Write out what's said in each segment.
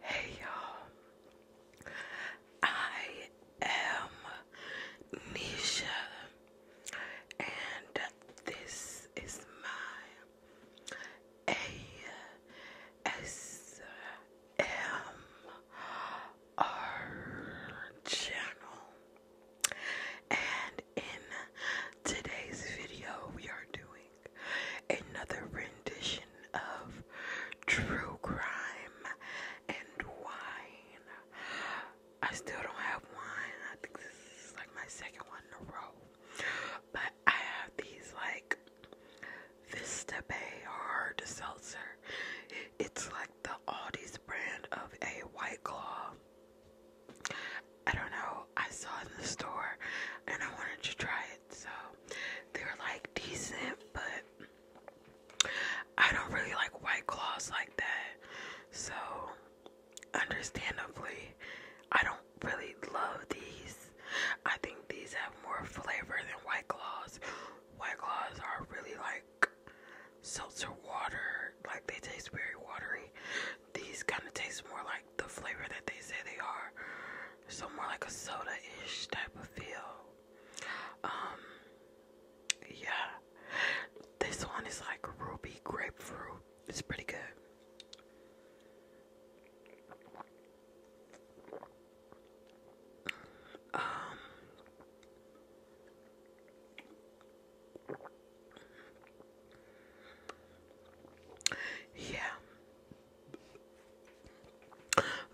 Hey y'all, I am Nisha, and this is my ASMR channel, and in today's video, we are doing another rendition of True Crime and Wine. I still don't have wine. I think this is like my second one in a row. But I have these like Vista Bay hard seltzer. It's like the Aldi's brand of a White Claw. I don't know. I saw in the store and I wanted to try it. So they were like decent, but I don't really like white claws like that. So understandably, I don't really love these. I think these have more flavor than white claws. White claws are really like seltzer water, like they taste very watery. These kind of taste more like the flavor that they say they are. So more like a soda-ish type of feel. Um, yeah. This one is like ruby grapefruit. It's pretty good. Um, yeah.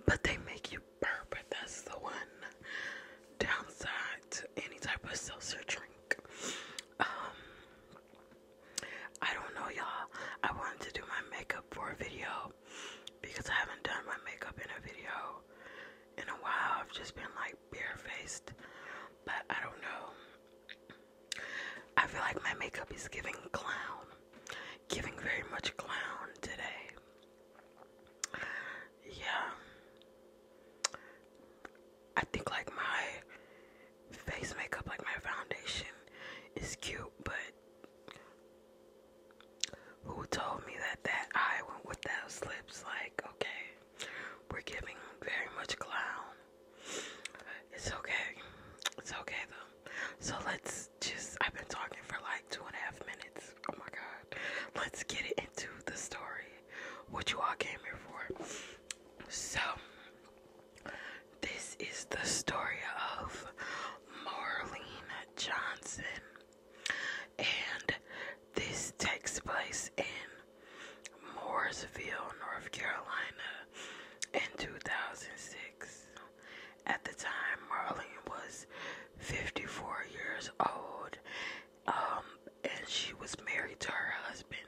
But they make you burp. That's the one downside to any type of seltzer drink. Um, I don't know, y'all. I wanted to do my makeup for a video because I haven't done my makeup in a video in a while. I've just been like faced, but I don't know. I feel like my makeup is giving clown, giving very much clown today. Yeah, I think like my face makeup, like my foundation, is cute, but who told me that that eye went with those lips? Like, okay, we're giving very much clown. It's okay. It's okay though. So let's just, I've been talking for like two and a half minutes. Oh my God. Let's get it into the story, what you all came here for. So, this is the story of Marlene Johnson. And this takes place in Mooresville, North Carolina, in 2006. At the time, Marlene was 54 years old, um, and she was married to her husband,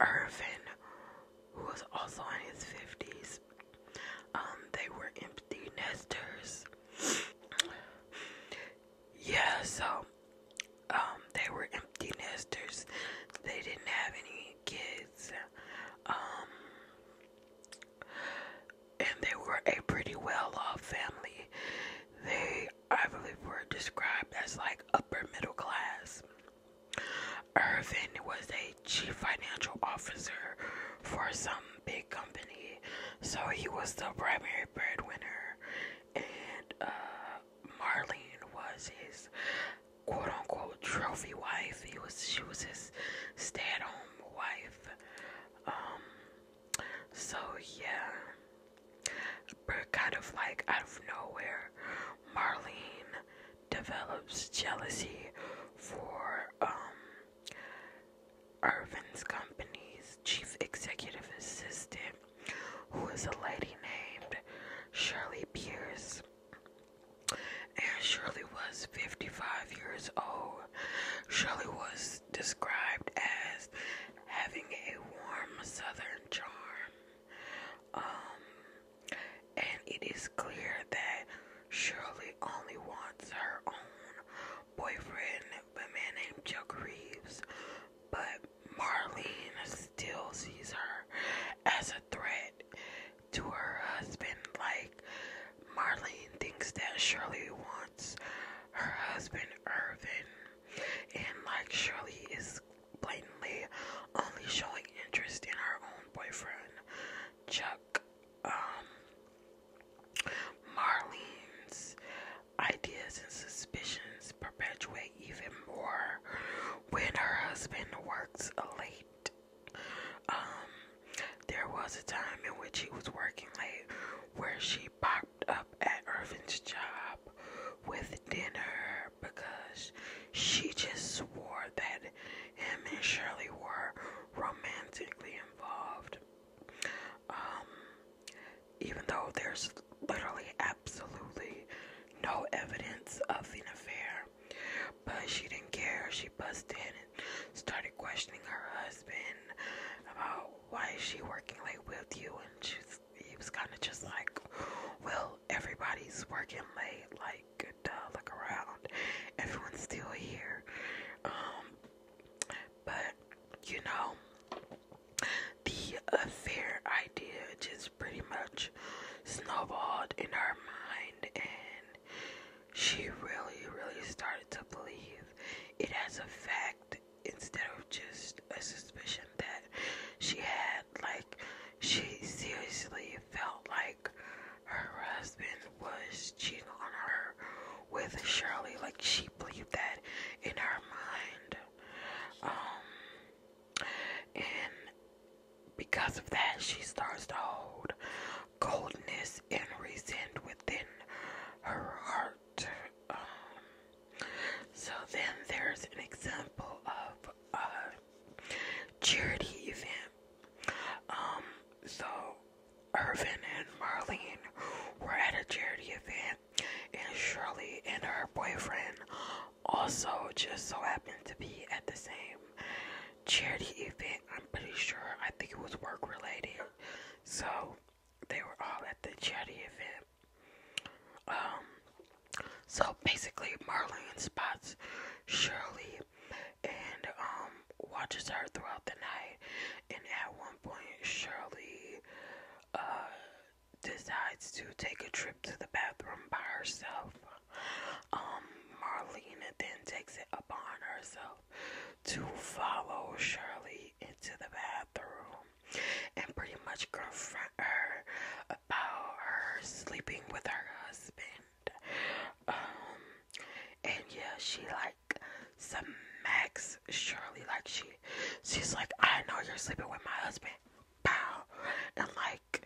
Irvin, who was also in his 50s. Um, they were empty nesters. yeah, so um, they were empty nesters. They didn't have any kids. Um, and they were a pretty well off family. They, I believe, were described as like upper middle class. Irvin was a chief financial officer for some big company, so he was the primary breadwinner, and uh, Marlene was his quote unquote trophy wife. He was she was his stay at home wife. Um so yeah. But kind of like out of nowhere, Marlene develops jealousy for um Irvin's company's chief executive assistant, who is a lady named Shirley Pierce and Shirley was 55 years old. Shirley was described as having a warm southern charm. Um, and it is clear that Shirley only wants her own boyfriend, a man named Chuck Reeves. But Marlene still sees her as a threat to her husband, like Marlene thinks that Shirley wants her husband Irvin, and like Shirley is blatantly only showing interest in her own boyfriend, Chuck. Um, Marlene's ideas and suspicions perpetuate even more when her husband works late. Um, there was a time in which he was working late where she popped up at Irvin's job with dinner because she just swore that him and Shirley were romantically involved. Um, even though there's literally absolutely no evidence of an affair. But she didn't care. She busted in and started questioning her husband about why is she working late with you. And she, he was kind of just like, well, everybody's working late. Like, look around. Everyone's still here. Um, but, you know, the affair idea just pretty much snowballed in her mind and she really, really started to believe it as a fact instead of just a suspicion that she had. Like, she seriously felt like her husband was cheating on her with Shirley. Like, she believed that in her mind. Um, and because of that, she starts to hold coldness and resent within her heart. Um, so then there's an example of a charity event. Um, so Irvin and Marlene were at a charity event, and Shirley and her boyfriend also just so happened to be at the same charity event. I'm pretty sure. I think it was work related. So they were all at the charity event. Um, so basically, Marlene spots Shirley and um, watches her throughout the night. And at one point, Shirley uh, decides to take a trip to the bathroom by herself. Um, Marlena then takes it upon herself to follow Shirley into the bathroom and pretty much confront her about her sleeping with her husband. Um, and yeah, she like smacks Shirley like she, she's like, I know you're sleeping with my husband, and like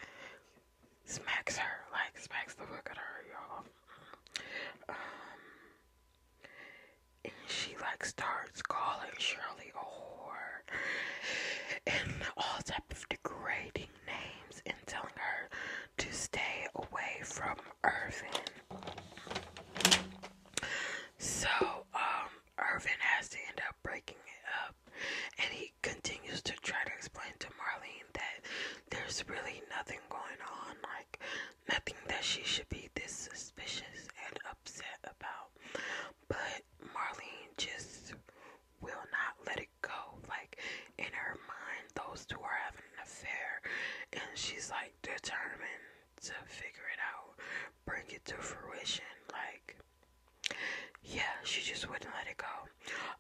smacks her, like smacks the fuck out her, y'all. Um, and she like starts calling Shirley a whore and all type of degrading names and telling her to stay away from Irvin. So um, Irvin has to end up breaking it up and he continues to try to explain to Marlene that there's really nothing going on, like nothing that she should be this suspicious and upset about. But Marlene just will not let it go. Like in her mind, those two are having an affair, and she's like determined to figure it out, bring it to fruition. Like yeah, she just wouldn't let it go.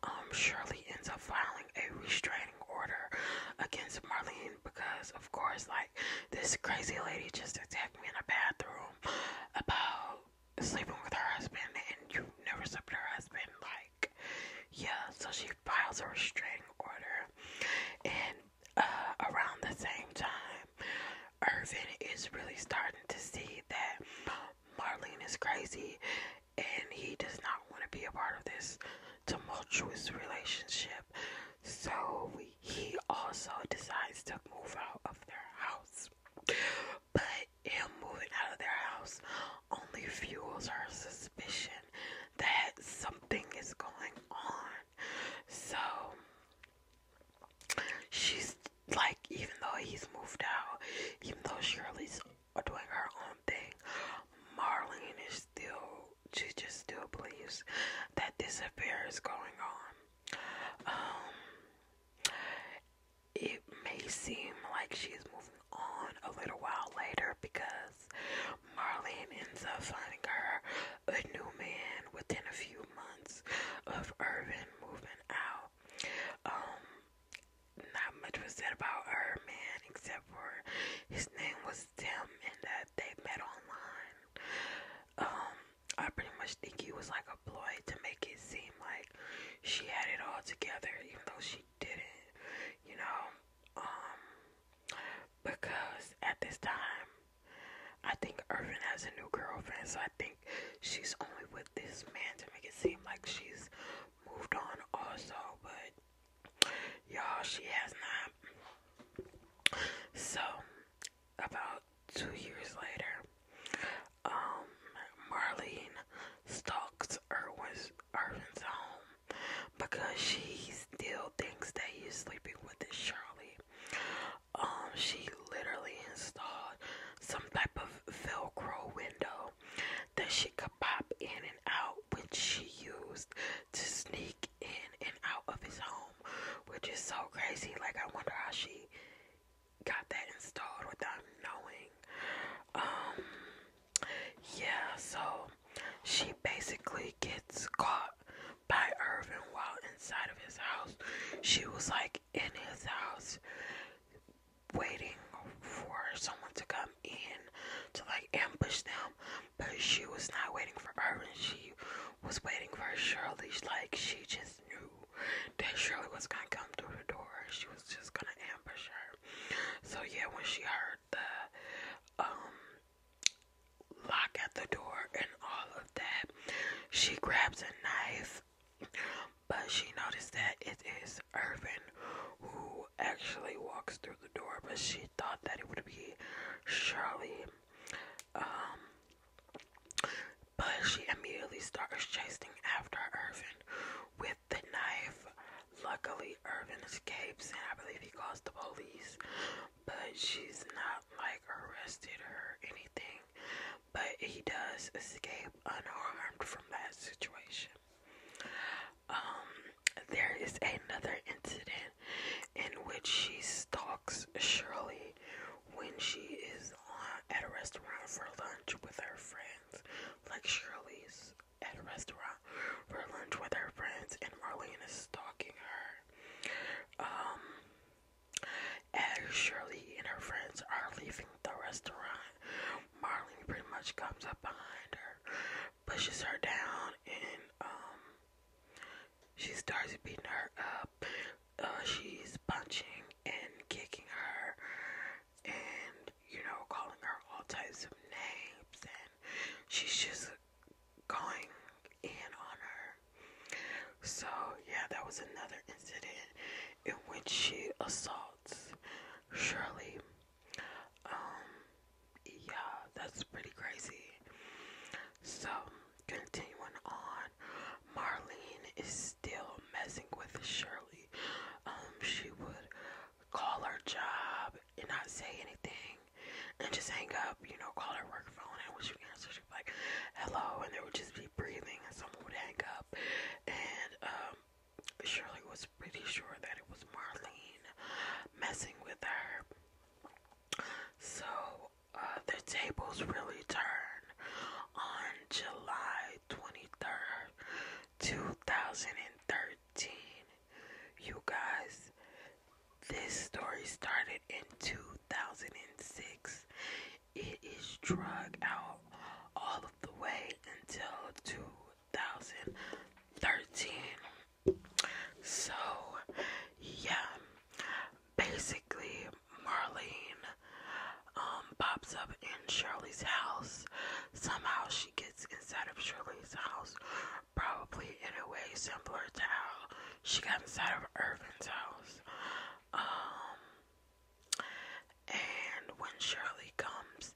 Um, Shirley ends up filing a restraining order against Marlene because, of course, like this crazy lady just attacked me in a bathroom about sleeping with her husband, and you never slept with her husband. Like, yeah, so she files a restraining order, and uh, around the same time, Irvin is really starting to see that Marlene is crazy and he does not want to be a part of this tumultuous relationship. So he also decides to move out of their house. But him moving out of their house only fuels her suspicion that something is going on. So she's like even though he's moved out, even though Shirley's doing her own thing, Marlene is still she just still believes that this affair is going on. Um, it may seem like she is moving on a little while later because Marlene ends up finding her a new man within a few months of Irvin moving out. Um, not much was said about her man except for his name was Tim and that they met online. Um, I pretty much think he was like a ploy to make it seem like she had it all together, even though she didn't, you know. Um, because at this time, I think Irvin has a new girlfriend, so I think she's only with this man to make it seem like she's moved on also, but y'all, she has not. So, about two years later, um, Marlene stalks Irwin's, Irwin's home because she still thinks that he's sleeping with this Shirley. Um, she literally installed some type of Velcro window that she could pop in and out, which she used to sneak in and out of his home, which is so crazy. Like, I wonder how she got that installed without knowing. Um, yeah, so she basically gets caught by Irvin while inside of his house. She was like in his house waiting for someone to come in to like ambush them, but she was not waiting for her, and She was waiting for Shirley. Like she just knew that Shirley was gonna come through the door. She was just gonna ambush her. So yeah, when she heard the um lock at the door and all of that, she grabs a knife but she noticed that it is Irvin who actually walks through the door, but she thought that it would be Shirley. Um, but she immediately starts chasing after Irvin with the knife. Luckily, Irvin escapes, and I believe he calls the police. But she's not like arrested or anything but he does escape unharmed from that situation. Um, there is another incident in which she stalks Shirley when she is at a restaurant for lunch with her friends. Like Shirley's at a restaurant for lunch with her friends, and Marlene is stalking her. Um, as Shirley and her friends are leaving the restaurant, Marlene pretty much comes up behind her, pushes her down, and um, she starts beating her up. Uh, she's punching and kicking her, and you know, calling her all types of names, and she's just going in on her. So, yeah, that was another incident in which she assaults Shirley. Um, yeah, that's pretty crazy. So, continuing on, Marlene is still messing with Shirley. Um, she would call her job and not say anything and just hang up, you know, call her work phone. And when she answered, she'd be like, hello. And they would just be breathing, and someone would hang up. And, um, Shirley was pretty sure that it was Marlene messing with her. So uh, the tables really turned on July 23rd, 2013. You guys, this story started in 2006. It is drug out all of the way until 2013. So, yeah, basically, Marlene um, pops up in Shirley's house. Somehow she gets inside of Shirley's house, probably in a way similar to how she got inside of Irvin's house. Um, and when Shirley comes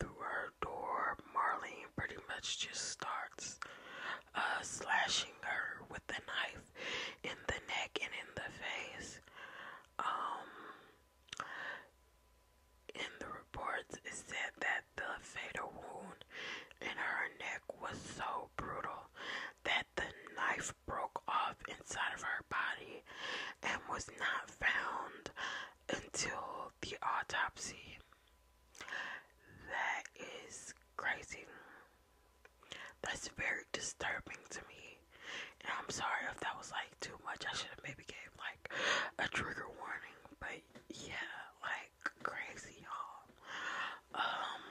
through her door, Marlene pretty much just starts uh, slashing her with a knife in the neck and in the face. Um, in the reports, it said that the fatal wound in her neck was so brutal that the knife broke off inside of her body and was not found until the autopsy. That is crazy. That's very disturbing to me. And I'm sorry if that was like too much. I should have maybe gave like a trigger warning. But yeah, like crazy y'all. Um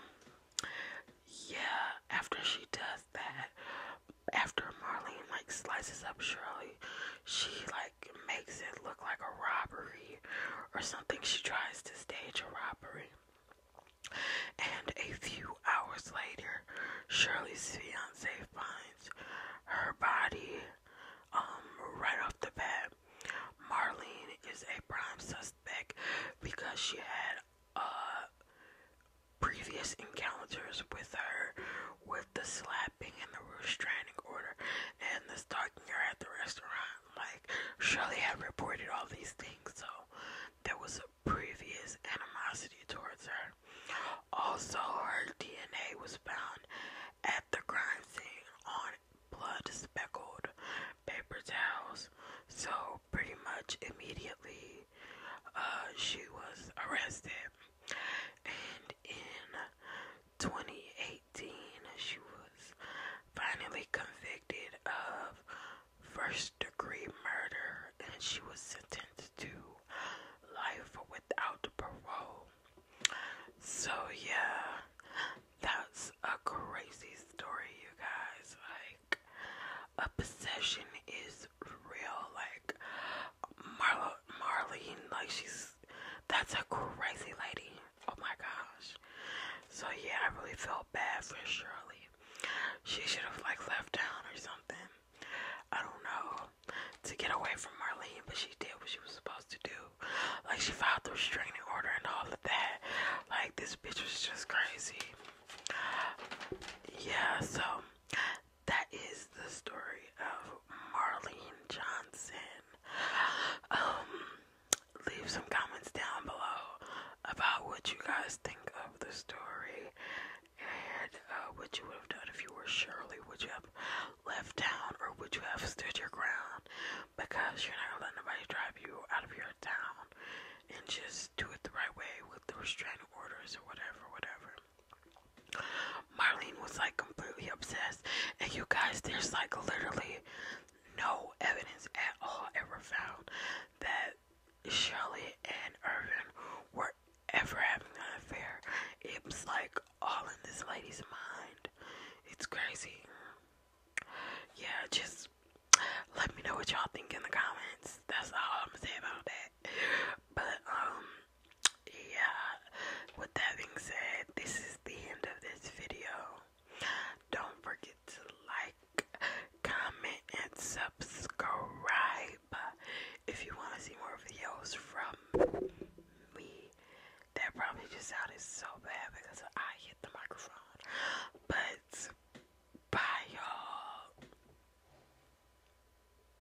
yeah, after she does that, after Marlene like slices up Shirley, she like makes it look like a robbery or something. She tries to stage a robbery. And a few hours later, Shirley's fiance finds her body um right off the bat. Marlene is a prime suspect because she had a. Uh, previous encounters with her, with the slapping and the restraining order, and the stalking her at the restaurant. Like, Shirley had reported all these things, so there was a previous animosity towards her. Also, her DNA was found at the crime scene on blood speckled paper towels. So, pretty much immediately, uh, she was arrested. And in 2018, she was finally convicted of first degree murder and she was sentenced to life without parole. So, yeah, that's a crazy story, you guys. Like, a possession is real, like Marlo, Marlene, like she's that's a crazy lady. Oh my gosh. So yeah, I really felt bad for Shirley. She should have like left town or something. I don't know. To get away from Marlene, but she did what she was supposed to do. Like she filed the restraining order and all of that. Like this bitch was just crazy. Yeah, so that is the story of Marlene Johnson. Um, leave some comments down below about what you guys think of the story and uh, what you would have done if you were Shirley. Would you have left town or would you have stood your ground? Because you're not gonna let nobody drive you out of your town and just do it the right way with the restraining orders or whatever, whatever. Marlene was like completely obsessed, and you guys, there's like literally no evidence at all ever found that Shirley and Irvin were ever having an affair. It was like all in this lady's mind. It's crazy. Yeah, just let me know what y'all think in the comments. That's all I'm gonna say about that but um yeah with that being said this is the end of this video don't forget to like comment and subscribe if you want to see more videos from me that probably just sounded so bad because I hit the microphone but bye y'all